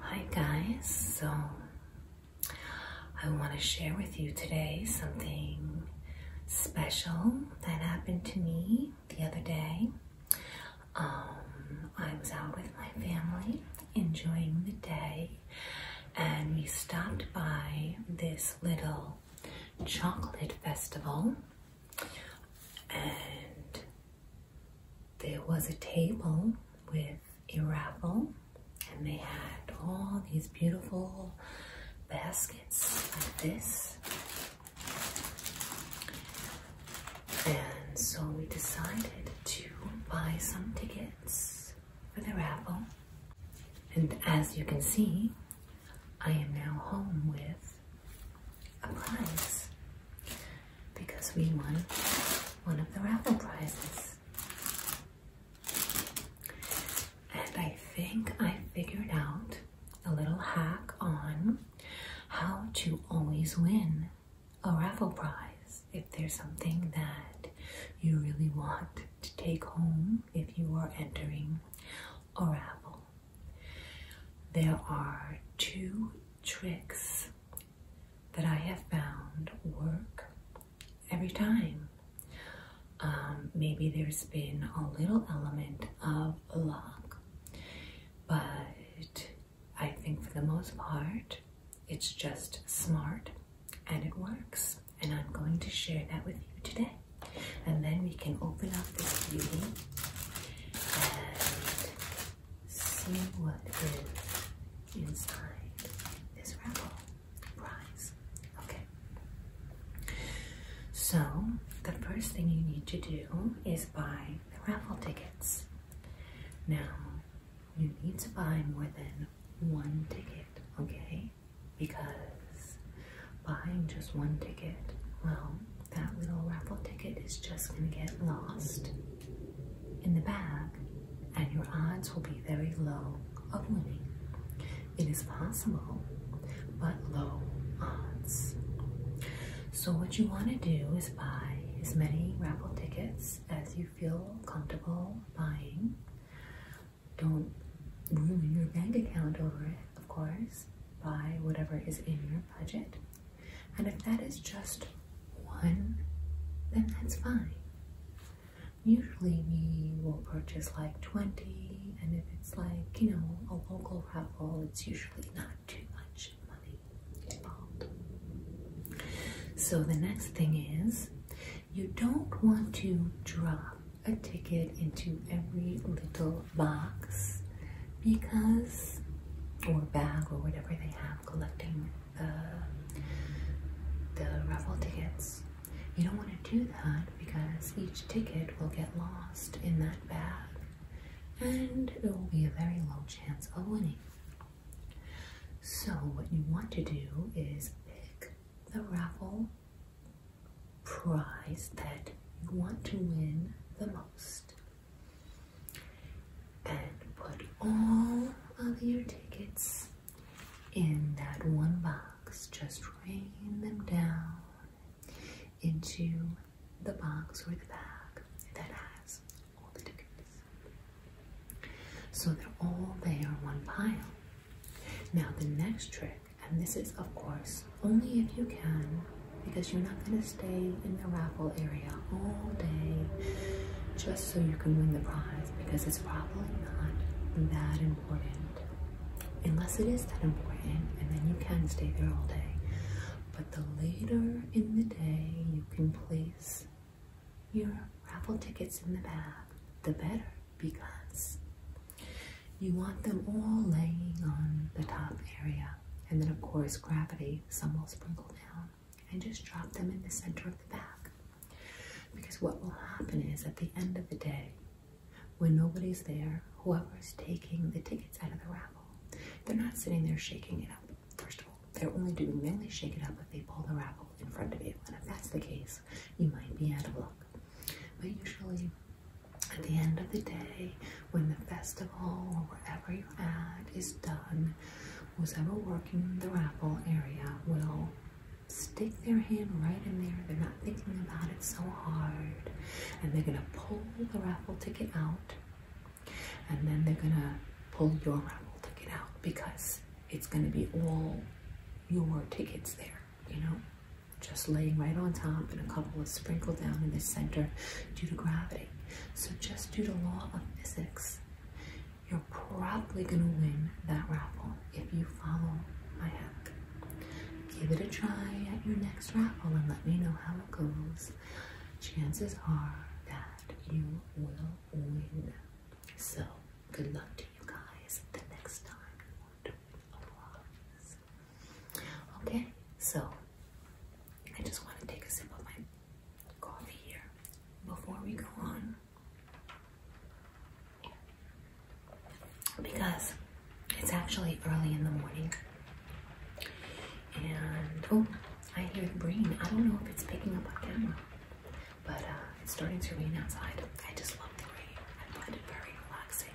Hi guys, so I want to share with you today something special that happened to me the other day. Um, I was out with my family enjoying the day and we stopped by this little chocolate festival and there was a table with a raffle and they had all these beautiful baskets like this and so we decided to buy some tickets for the raffle. And as you can see, I am now home with a prize because we won one of the raffle prizes. And I think I figured out a little hack on how to always win a raffle prize if there's something that you really want to take home if you are entering a raffle. There are two tricks that I have found work every time. Um, maybe there's been a little element of luck, but I think for the most part, it's just smart and it works. And I'm going to share that with you today. And then we can open up this beauty and see what is inside this raffle prize. Okay. So, the first thing you need to do is buy the raffle tickets. Now, you need to buy more than one ticket, okay? Because buying just one ticket, well, that little raffle ticket is just going to get lost in the bag, and your odds will be very low of winning. It is possible, but low odds. So, what you want to do is buy as many raffle tickets as you feel comfortable buying. Don't ruin your bank account over it, of course. Buy whatever is in your budget. And if that is just one, then that's fine. Usually we will purchase like 20, and if it's like, you know, a local raffle, it's usually not too much money involved. So the next thing is you don't want to drop a ticket into every little box because, or bag or whatever they have collecting the, the raffle tickets. You don't want to do that because each ticket will get lost in that bag and it will be a very low chance of winning. So what you want to do is pick the raffle prize that you want to win the most and put all of your tickets in that one box. Just rain them down into the box or the bag that has all the tickets. So they're all there in one pile. Now the next trick, and this is of course only if you can, because you're not going to stay in the raffle area all day just so you can win the prize, because it's probably not that important. Unless it is that important, and then you can stay there all day. But the later in the day you can place your raffle tickets in the bag, the better because you want them all laying on the top area. And then, of course, gravity, some will sprinkle down and just drop them in the center of the bag. Because what will happen is at the end of the day, when nobody's there, whoever's taking the tickets out of the raffle, they're not sitting there shaking it up. First of all, they're willing to merely shake it up if they pull the raffle in front of you, and if that's the case, you might be out of luck. But usually, at the end of the day, when the festival or wherever you're at is done, whoever working the raffle area will stick their hand right in there. They're not thinking about it so hard, and they're gonna pull the raffle ticket out, and then they're gonna pull your raffle ticket out because it's going to be all your tickets there, you know, just laying right on top and a couple of sprinkled down in the center due to gravity. So just due to law of physics, you're probably going to win that raffle if you follow my hack. Give it a try at your next raffle and let me know how it goes. Chances are that you will win. So, good luck to you guys the next time Okay, so I just want to take a sip of my coffee here before we go on because it's actually early in the morning and oh I hear the green. I don't know if it's picking up on camera but uh, it's starting to rain outside. I just love the rain. I find it very relaxing,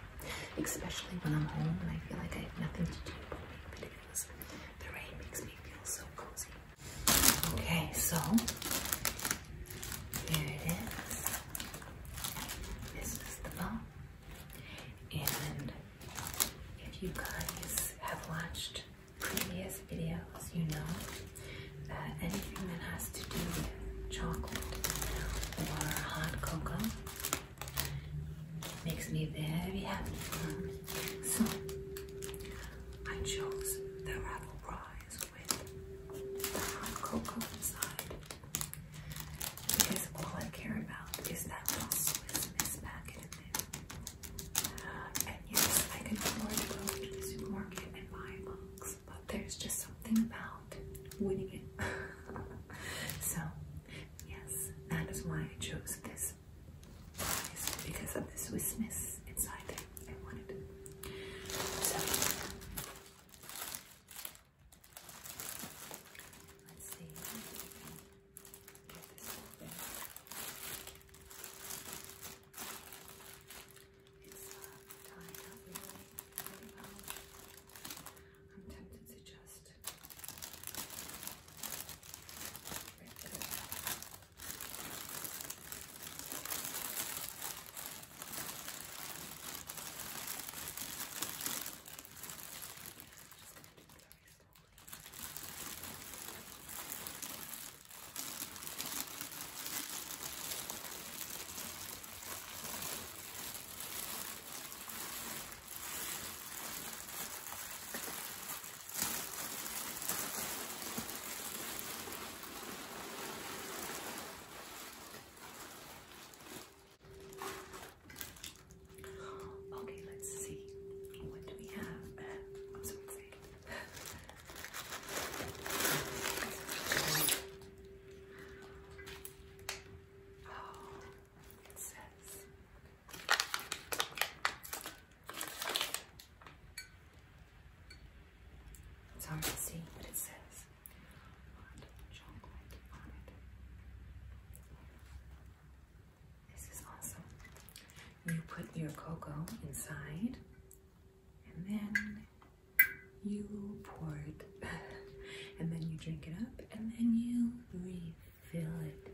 especially when I'm home and I feel like I have nothing to do but make videos. The rain makes me feel so cozy. Okay, so here it is. This is the bone. And if you guys have watched previous videos, you know that uh, anything that has to do with chocolate or hot cocoa makes me very happy. So I chose the raffle prize with hot cocoa inside because all I care about is that little Swiss Miss packet there. And yes, I could afford to go to the supermarket and buy books, but there's just something about winning it. so, yes, that is why I chose this prize because of the Swiss Miss inside there. I wanted it. So, let's see. Get this open. It's uh, really, well. I'm tempted to just Okay, let's see. What do we have? Oh, it It's hard to see what it says. Hot chocolate on it. This is awesome you put your cocoa inside and then you pour it and then you drink it up and then you refill it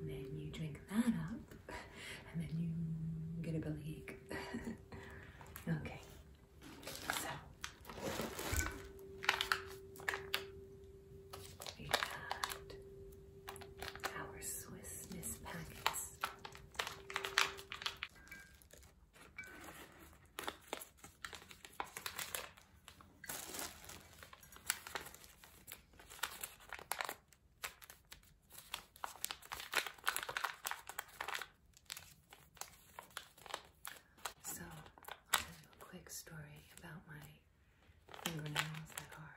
and then you drink that up and then you get a bellyache okay so we got our Swiss Miss packets so, I'll tell you a quick story about my fingernails that are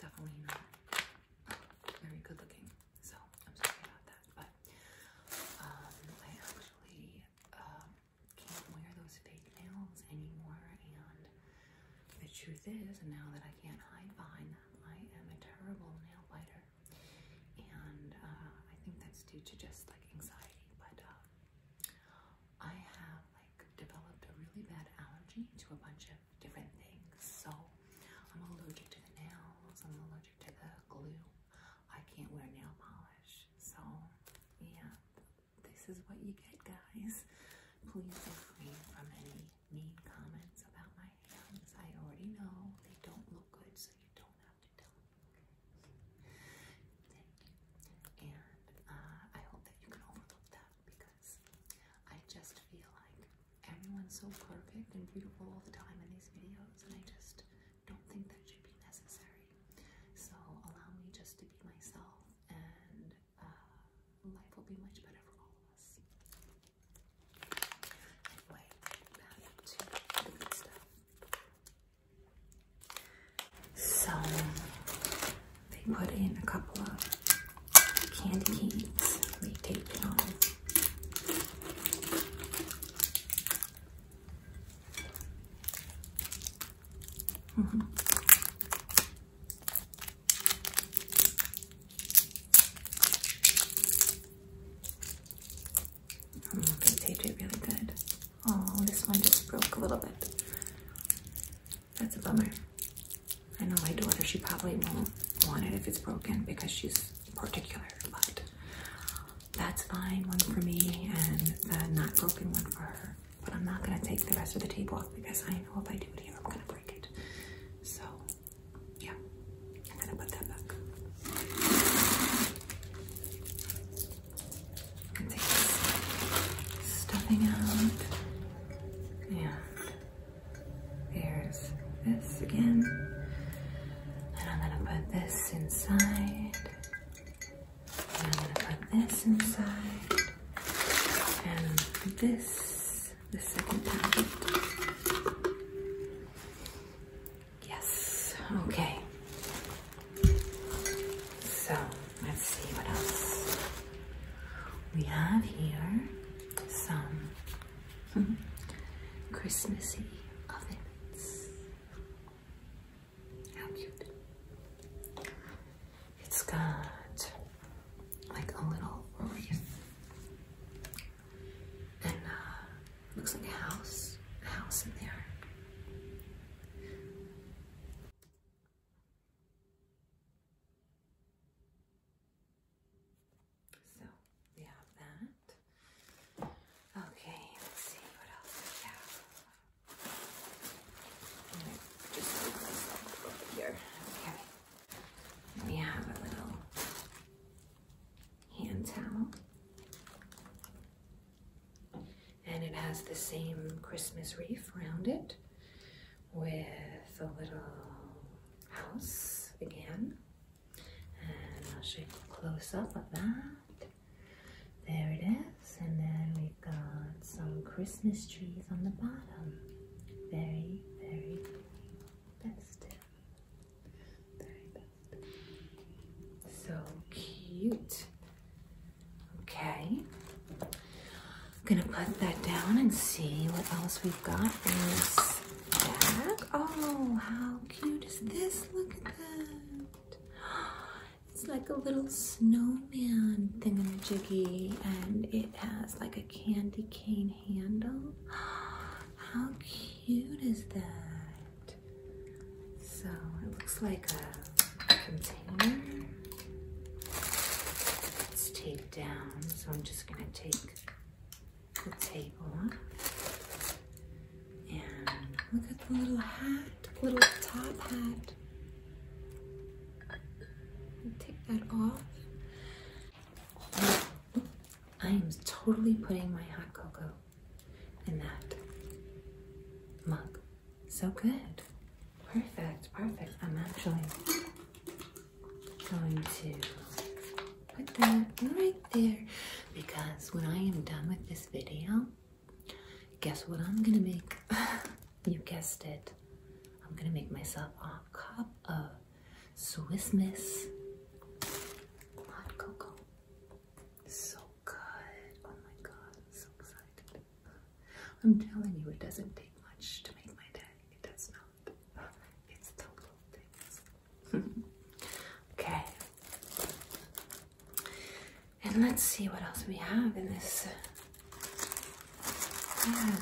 definitely not very good looking. So I'm sorry about that. But um, I actually um, can't wear those fake nails anymore. And the truth is, now that I can't hide behind them, I am a terrible nail biter. And uh, I think that's due to just like anxiety. But um, I have like developed a really bad allergy to a bunch of different things. So I'm allergic to the nails. I'm allergic to the glue. I can't wear nail polish. So yeah, this is what you get, guys. Please feel free from any mean comments about my hands. I already know they don't look good, so you don't have to tell me. Okay. Thank you. And uh, I hope that you can overlook that because I just feel like everyone's so perfect and beautiful all the time in these videos, and I just don't think that should be necessary. So allow me just to be myself, and uh, life will be much better for all of us. Anyway, back to good stuff. So they put in a couple of candy canes we taped it on. Mm -hmm. Oh, they taped it really good. Oh, this one just broke a little bit. That's a bummer. I know my daughter, she probably won't want it if it's broken because she's particular, but that's fine. One for me and the not broken one for her. But I'm not going to take the rest of the tape off because I know if I do it here, I'm going to break it. So, yeah, I'm going to put that back. stuffing out. And there's this again. And I'm gonna put this inside. And I'm gonna put this inside. And this, the second packet. Yes, okay. So let's see what else we have here some Christmassy ovens. How cute. It's got like a little wreath and uh, looks like a house, a house in there. So we have that. Okay, let's see what else we have. Right, just over here. Okay. We have a little hand towel. And it has the same Christmas wreath around it with a little house again. And I'll show you a close up of that. There it is. And then we've got some Christmas trees on the bottom. Very, very festive. Very festive. So cute. Okay. I'm gonna put that down and see what else we've got in this bag. Oh, how cute is this? Look at that. It's like a little snowman thingy, and it has like a candy cane handle. How cute is that? So it looks like a container. Let's take down. So I'm just going to take the table off. And look at the little hat, little top hat. Take that off. I am totally putting my hot cocoa in that mug. So good. Perfect, perfect. I'm actually going to put that right there because when I am done with this video, guess what I'm gonna make? you guessed it. I'm gonna make myself a cup of Swiss Miss hot cocoa. So good. Oh my god, so excited. I'm telling you, it doesn't take much to make my day. It does not. It's the little things. okay. And let's see what else we have in this. Yeah. Uh,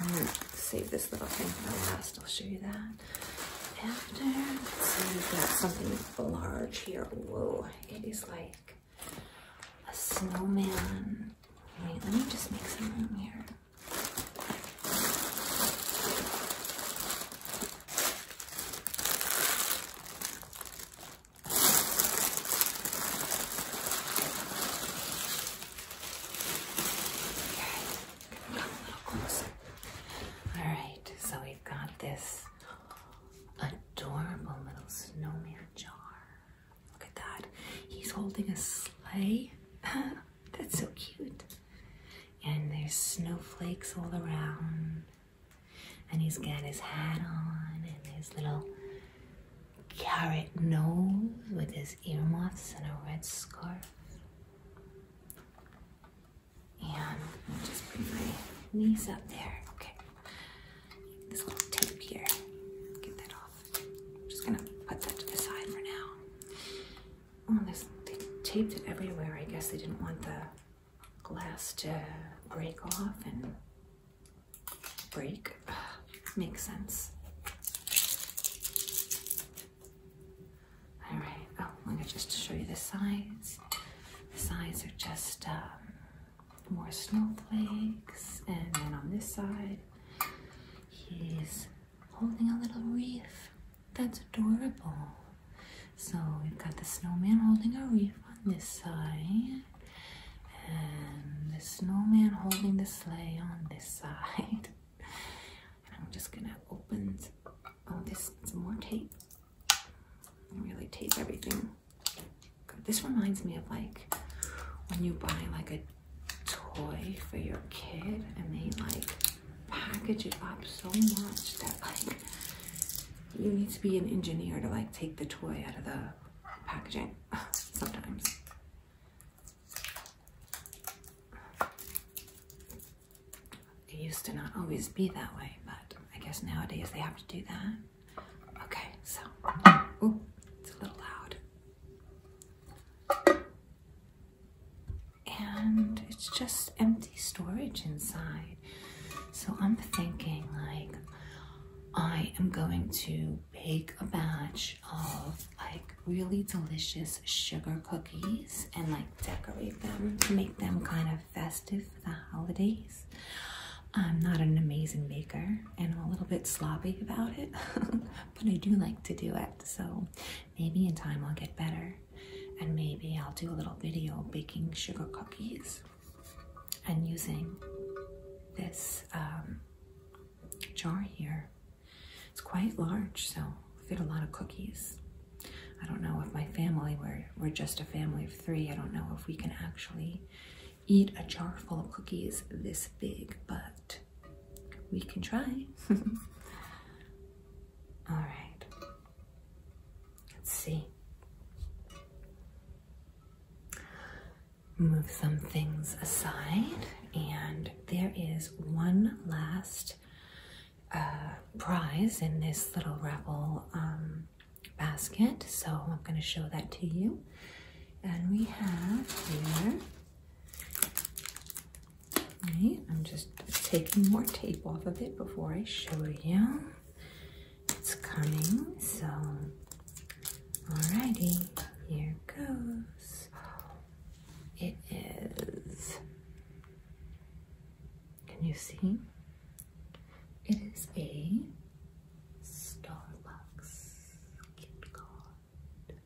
I'm hmm, gonna save this little thing for last. I'll show you that after. see, we've got something large here. Whoa, it is like a snowman let me just make some room here. All right, so we've got this adorable little snowman jar. Look at that. He's holding a sleigh. That's so cute. And there's snowflakes all around. And he's got his hat on and his little carrot nose with his ear earmuffs and a red scarf. And just put my knees up there. Okay this little tape here. Get that off. I'm just gonna put that to the side for now. Oh, they taped it everywhere. I guess they didn't want the glass to break off and break. Ugh, makes sense. All right. Oh, I'm gonna just show you the sides. The sides are just um, more snowflakes. And then on this side, he's holding a little wreath. That's adorable. So we've got the snowman holding a wreath on this side, and the snowman holding the sleigh on this side. I'm just gonna open all oh, this some more tape. really tape everything this reminds me of like when you buy like a toy for your kid and they like package it up so much that like you need to be an engineer to like take the toy out of the packaging sometimes. It used to not always be that way, but I guess nowadays they have to do that. Okay, so, it's a little loud. And it's just empty storage inside. So I'm thinking like, I am going to bake a batch of like really delicious sugar cookies and like decorate them to make them kind of festive for the holidays. I'm not an amazing baker and I'm a little bit sloppy about it, but I do like to do it. So maybe in time I'll get better and maybe I'll do a little video baking sugar cookies and using this um, jar here. It's quite large, so fit a lot of cookies. I don't know if my family, we're, we're just a family of three. I don't know if we can actually eat a jar full of cookies this big, but we can try. All right. Let's see. Move some things aside, and there is one last uh, prize in this little rebel um, basket. So I'm going to show that to you. And we have here, I'm just taking more tape off of it before I show you. It's coming, so alrighty, here goes. It is, can you see? It is a Starbucks gift card.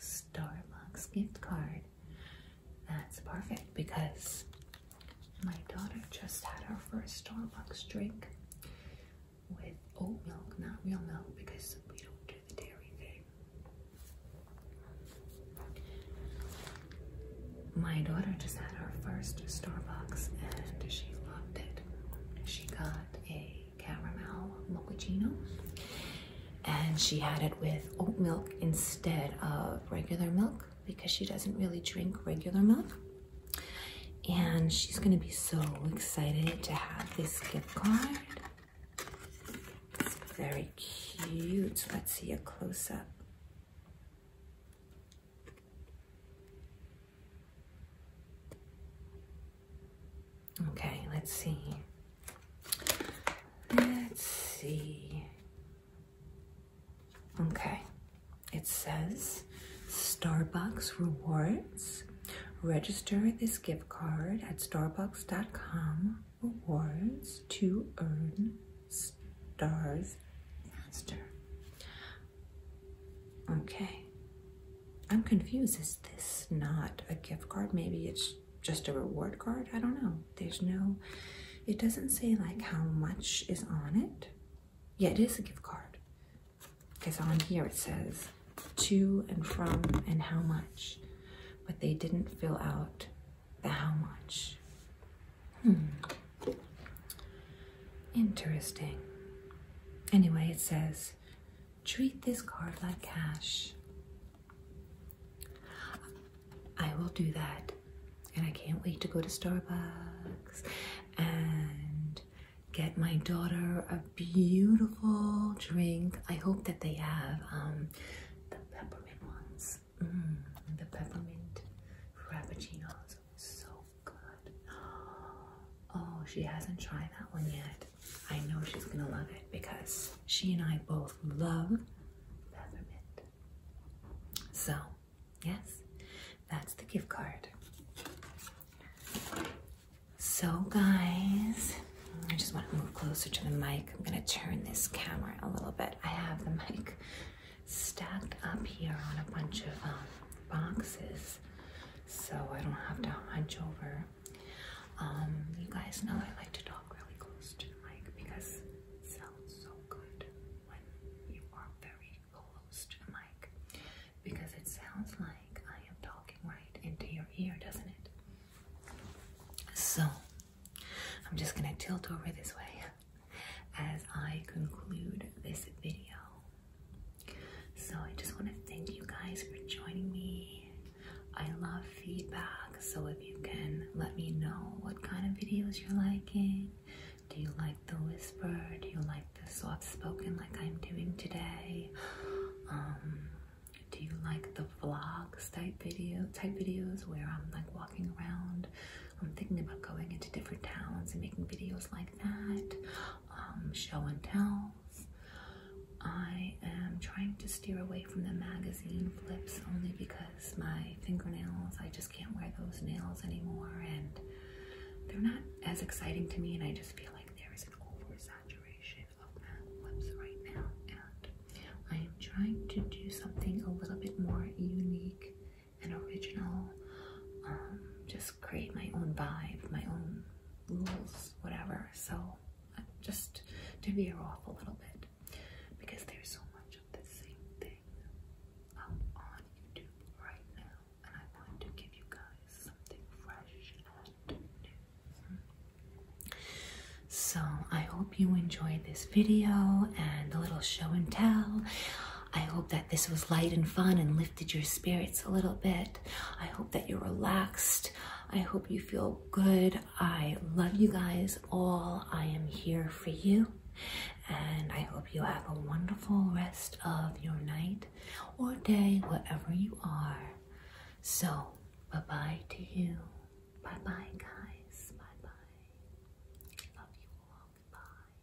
Starbucks gift card. That's perfect because my daughter just had her first Starbucks drink with oat milk, not real milk, because we don't do the dairy thing. My daughter just had her first Starbucks and she loved it. She got a caramel mochino, And she had it with oat milk instead of regular milk because she doesn't really drink regular milk. And she's going to be so excited to have this gift card. It's very cute. Let's see a close up. Okay, let's see. Let's see. Okay, it says Starbucks Rewards. Register this gift card at starbucks.com rewards to earn stars faster. Okay. I'm confused. Is this not a gift card? Maybe it's just a reward card? I don't know. There's no, it doesn't say like how much is on it. Yeah, it is a gift card. Because on here it says to and from and how much. But they didn't fill out the how much. Hmm. Interesting. Anyway, it says treat this card like cash. I will do that, and I can't wait to go to Starbucks and get my daughter a beautiful drink. I hope that they have um, the peppermint ones, mm, the peppermint frappuccinos. So Oh, good. Oh, she hasn't tried that one yet. I know she's gonna love it because she and I both love peppermint. So, yes, that's the gift card. So, guys, I just want to move closer to the mic. I'm gonna turn this camera a little bit. I have the mic stacked up here on a bunch of um, boxes so I don't have to hunch over. Um, you guys know I like to talk really close to the mic because it sounds so good when you are very close to the mic because it sounds like I am talking right into your ear, doesn't it? So, I'm just gonna tilt over this way as I conclude this video. So I just want to thank you guys for joining me. I love feedback, so if you can let me know what kind of videos you're liking. Do you like the whisper? Do you like the soft spoken like I'm doing today? Um, do you like the vlogs type video type videos where I'm like walking around? I'm thinking about going into different towns and making videos like that. Um, show and tells. I am trying to steer away from the magazine flips only because my fingernails, I just can't wear those nails anymore, and they're not as exciting to me, and I just feel like there is an oversaturation of mag flips right now. And I am trying to do something a little bit more unique and original, um, just create my own vibe, my own rules, whatever. So just to veer off a little bit because there's so much of the same thing up on YouTube right now, and I want to give you guys something fresh So I hope you enjoyed this video and the little show and tell. I hope that this was light and fun and lifted your spirits a little bit. I hope that you're relaxed. I hope you feel good. I love you guys all. I am here for you. And I hope you have a wonderful rest of your night or day, wherever you are. So, bye bye to you. Bye bye, guys. Bye bye. Love you all. Goodbye.